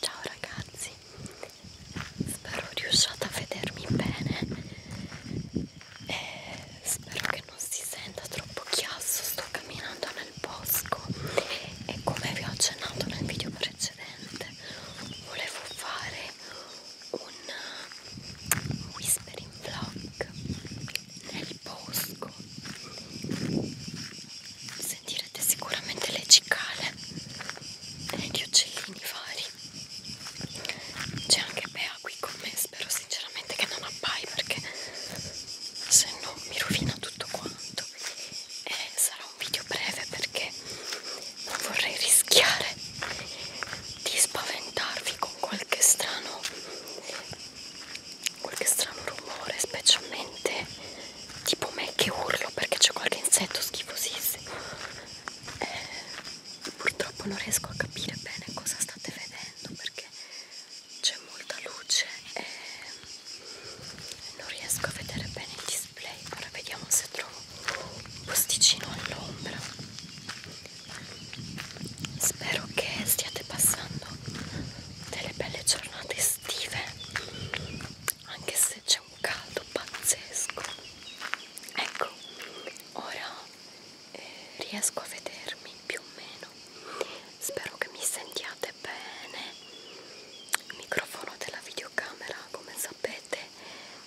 Ciao ragazzi, spero riusciate a vedermi bene e spero che non si senta troppo chiasso, sto camminando nel bosco e come vi ho accennato nel video precedente volevo fare un whispering vlog nel bosco sentirete sicuramente le cicale e gli uccellini vari c'è anche Bea qui con me spero sinceramente che non appai perché se no mi rovina tutto quanto e sarà un video breve perché non vorrei rischiare di spaventarvi con qualche strano qualche strano rumore specialmente tipo me che urlo perché c'è qualche insetto schifosissimo eh, purtroppo non riesco a capire bene cosa state vedendo perché c'è molta luce e non riesco a vedere bene il display ora vediamo se trovo un posticino all'ombra spero che stiate passando delle belle giornate estive anche se c'è un caldo pazzesco ecco ora eh, riesco a vedermi più o meno spero che mi sentiate bene il microfono della videocamera come sapete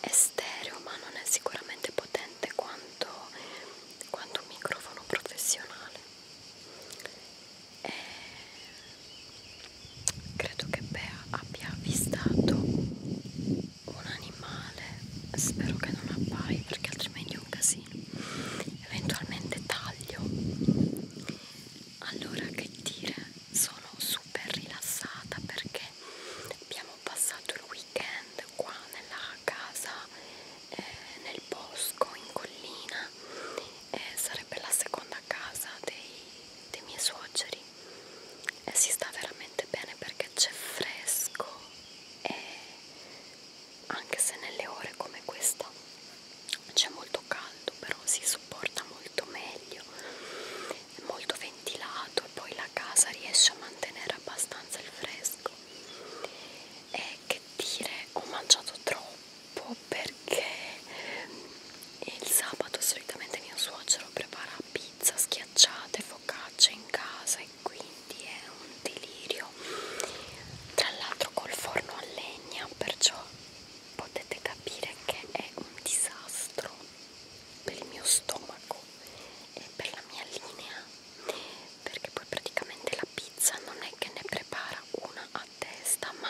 è stereo ma non è sicuramente potente quanto, quanto un microfono professionale e credo che Bea abbia avvistato un animale spero che non appai perché altrimenti è un casino eventualmente taglio allora che dire sono super rilassata perché abbiamo passato il weekend qua nella a casa eh, nel bosco, in collina, eh, sarebbe la seconda casa dei, dei miei suoceri e si sta veramente bene perché c'è fresco e anche se nelle ore come questa c'è molto caldo però si sopporta molto meglio è molto ventilato e poi la casa riesce a mantenere abbastanza il fresco eh, che dire ho mangiato troppo perché il sabato solitamente mio suocero prepara pizza schiacciate focaccia in casa e quindi è un delirio tra l'altro col forno a legna perciò potete capire che è un disastro per il mio stomaco e per la mia linea perché poi praticamente la pizza non è che ne prepara una a testa ma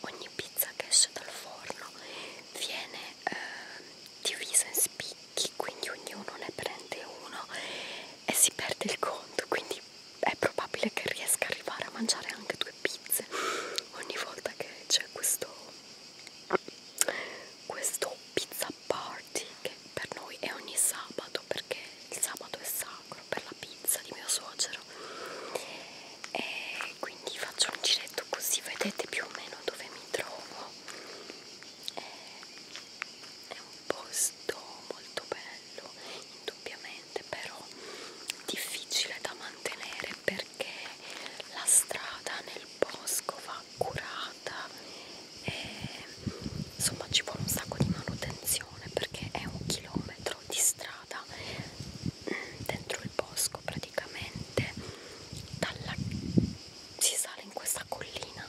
ogni pizza che esce dal forno viene eh, divisa in spicchi quindi ognuno ne prende uno e si perde il conto quindi è probabile che riesca a arrivare a mangiare anche due pizze ogni volta che c'è questo questo pizza pizza party che per noi è ogni sabato perché il sabato è sacro per la pizza di mio suocero e quindi faccio un giretto così vedete più o meno dove mi trovo eh, è un posto molto bello indubbiamente però difficile da mantenere perché la strada nel bosco va accurata e insomma ci vuole un sacco di manutenzione perché è un chilometro di strada mm, dentro il bosco praticamente dalla, si sale in questa collina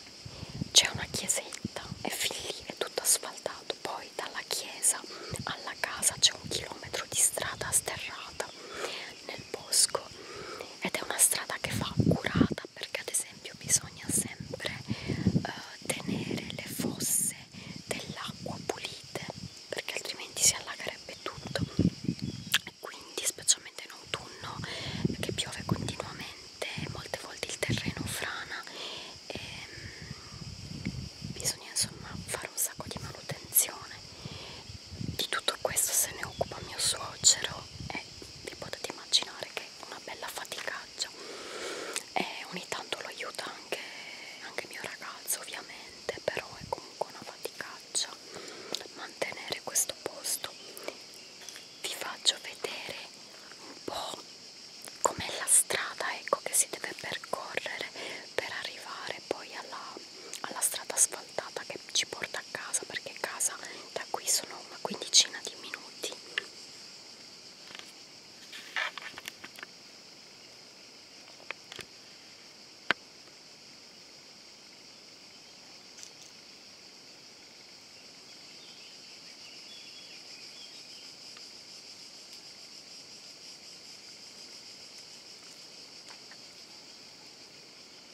c'è una chiesetta e fin lì è tutto asfaltato poi dalla chiesa alla casa c'è un chilometro di strada sterrata nel bosco ed è una strada che fa curata perché ad esempio bisogna sempre eh, tenere le fosse dell'acqua pulite perché altrimenti si allagherebbe tutto e quindi specialmente in autunno che piove continuamente molte volte il terreno frana e ehm, bisogna insomma fare un sacco di manutenzione di tutto questo se ne occupa mio suocero e vi potete immaginare che è una bella faticaccia e ogni tanto lo aiuta anche, anche mio ragazzo ovviamente però è comunque una faticaccia mantenere questo posto vi faccio vedere un po' com'è la strada ecco che si deve percorrere per arrivare poi alla alla strada asfaltata che ci porta a casa perché casa da qui sono una quindicina di minuti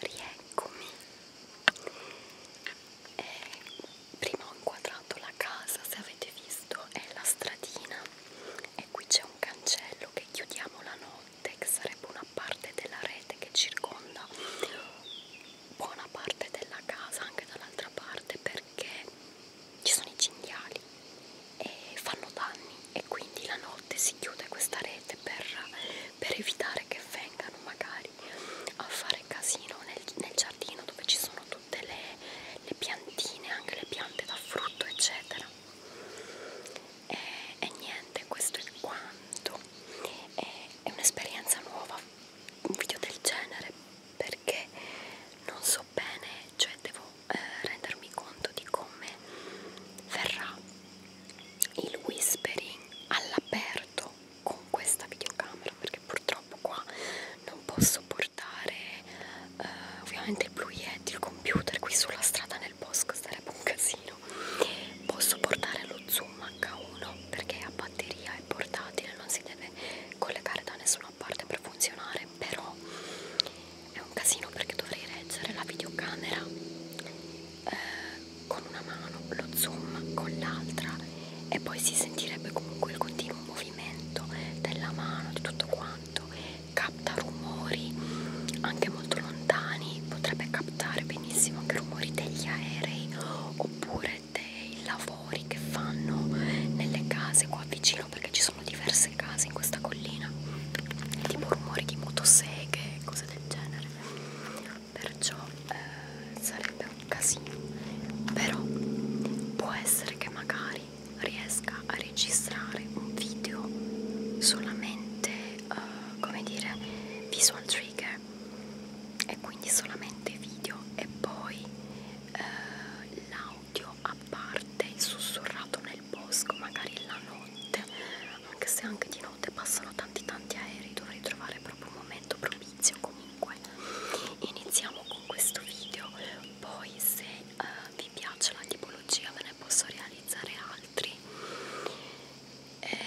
Rieccomi e eh, prima ho inquadrato la casa se avete visto è la stradina e qui c'è un cancello che chiudiamo la notte che sarebbe una parte della rete che circonda buona parte della casa anche dall'altra parte perché ci sono i cinghiali e fanno danni e quindi la notte si chiude questa rete per, per evitare che vengano magari fuori a fare casino nel, nel giardino dove ci sono tutte le, le piantine, anche le piante da frutto eccetera e, e niente, questo è quanto e, è un'esperienza nuova un video del genere perché non so bene, cioè devo eh, rendermi conto di come verrà il whispering all'aperto con questa videocamera perché purtroppo qua non posso portare eh, ovviamente il blu yeti, il computer qui sulla strada nel bosco sarebbe un casino posso portare lo zoom H1 perché a batteria è portatile non si deve collegare da nessuna parte per funzionare però è un casino perché dovrei reggere la videocamera eh, con una mano, lo zoom con l'altra e poi si sentirebbe comunque il continuo movimento della mano, di tutto quanto, capta rumori anche molto lontani, potrebbe captare benissimo anche rumori degli aerei oppure dei lavori che fanno nelle case qua vicino perché ci sono diverse case in questa collina tipo rumori di motoseghe cose del genere perciò eh, sarebbe un casino però può essere che magari riesca a registrare un video solamente eh, come dire visual trigger e quindi solamente video e poi eh, l'audio a parte il sussurrato nel bosco magari la notte anche se anche di notte passano tanti tanti aerei dovrei trovare proprio un momento propizio comunque iniziamo con questo video poi se eh, vi piace la tipologia ve ne posso realizzare altri eh,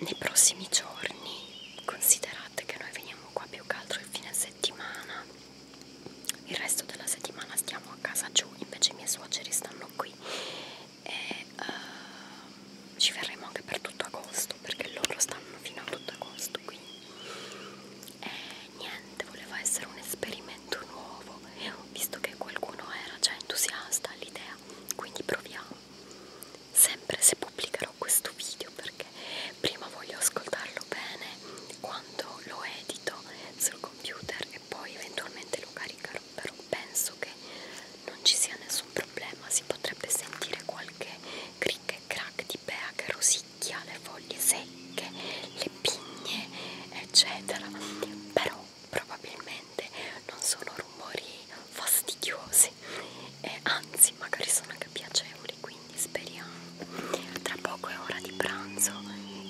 nei prossimi giorni considerate che noi veniamo qua più che altro il fine settimana il resto della settimana stiamo a casa giù invece i miei suoceri stanno qui e uh, ci verremo anche per tutto agosto perché loro stanno fino a tutto agosto qui e eh, niente voleva essere un esperimento nuovo visto che qualcuno era già entusiasta all'idea quindi proviamo sempre se pubblicherò questo video perché prima voglio ascoltarlo bene quando lo edito sul computer e poi eventualmente lo caricherò però penso che non ci sia nessun problema si potrebbe sentire qualche cric e crack di pea che rosicchia le foglie secche le pigne eccetera però probabilmente non sono rumori fastidiosi e anzi magari sono anche piacevoli quindi speriamo tra poco è ora di pranzo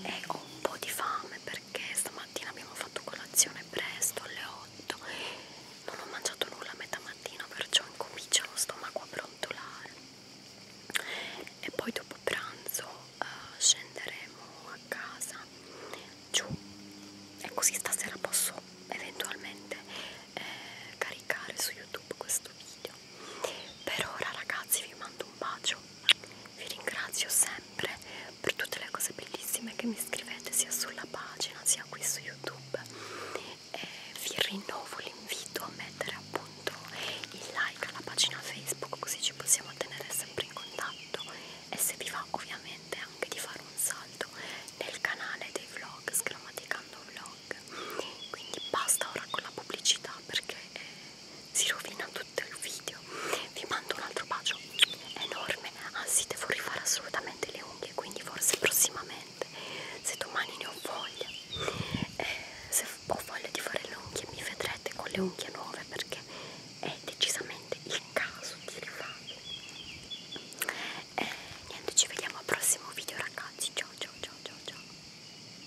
e ho un po' di fame perché perché stamattina abbiamo fatto colazione presto alle 8 non ho mangiato nulla a metà mattina perciò incomincia lo stomaco a brontolare e poi dopo pranzo uh, scenderemo a casa giù e così stasera posso eventualmente eh, caricare su youtube questo video per ora ragazzi vi mando un bacio vi ringrazio sempre per tutte le cose bellissime che mi scrivete sia sulla pagina sia qui su YouTube e vi rinnovo l'invito a mettere appunto il like alla pagina Facebook così ci possiamo tenere sempre in contatto e se vi va ovviamente anche di fare un salto nel canale dei vlog Sgrammaticando Vlog quindi basta ora con la pubblicità perché eh, si rovina tutto il video vi mando un altro bacio enorme anzi devo rifare assolutamente le unghie quindi forse prossimamente se domani ne ho voglia eh, se ho voglia di fare le unghie mi vedrete con le unghie nuove perché è decisamente il caso di rifarle eh, niente ci vediamo al prossimo video ragazzi ciao ciao ciao ciao ciao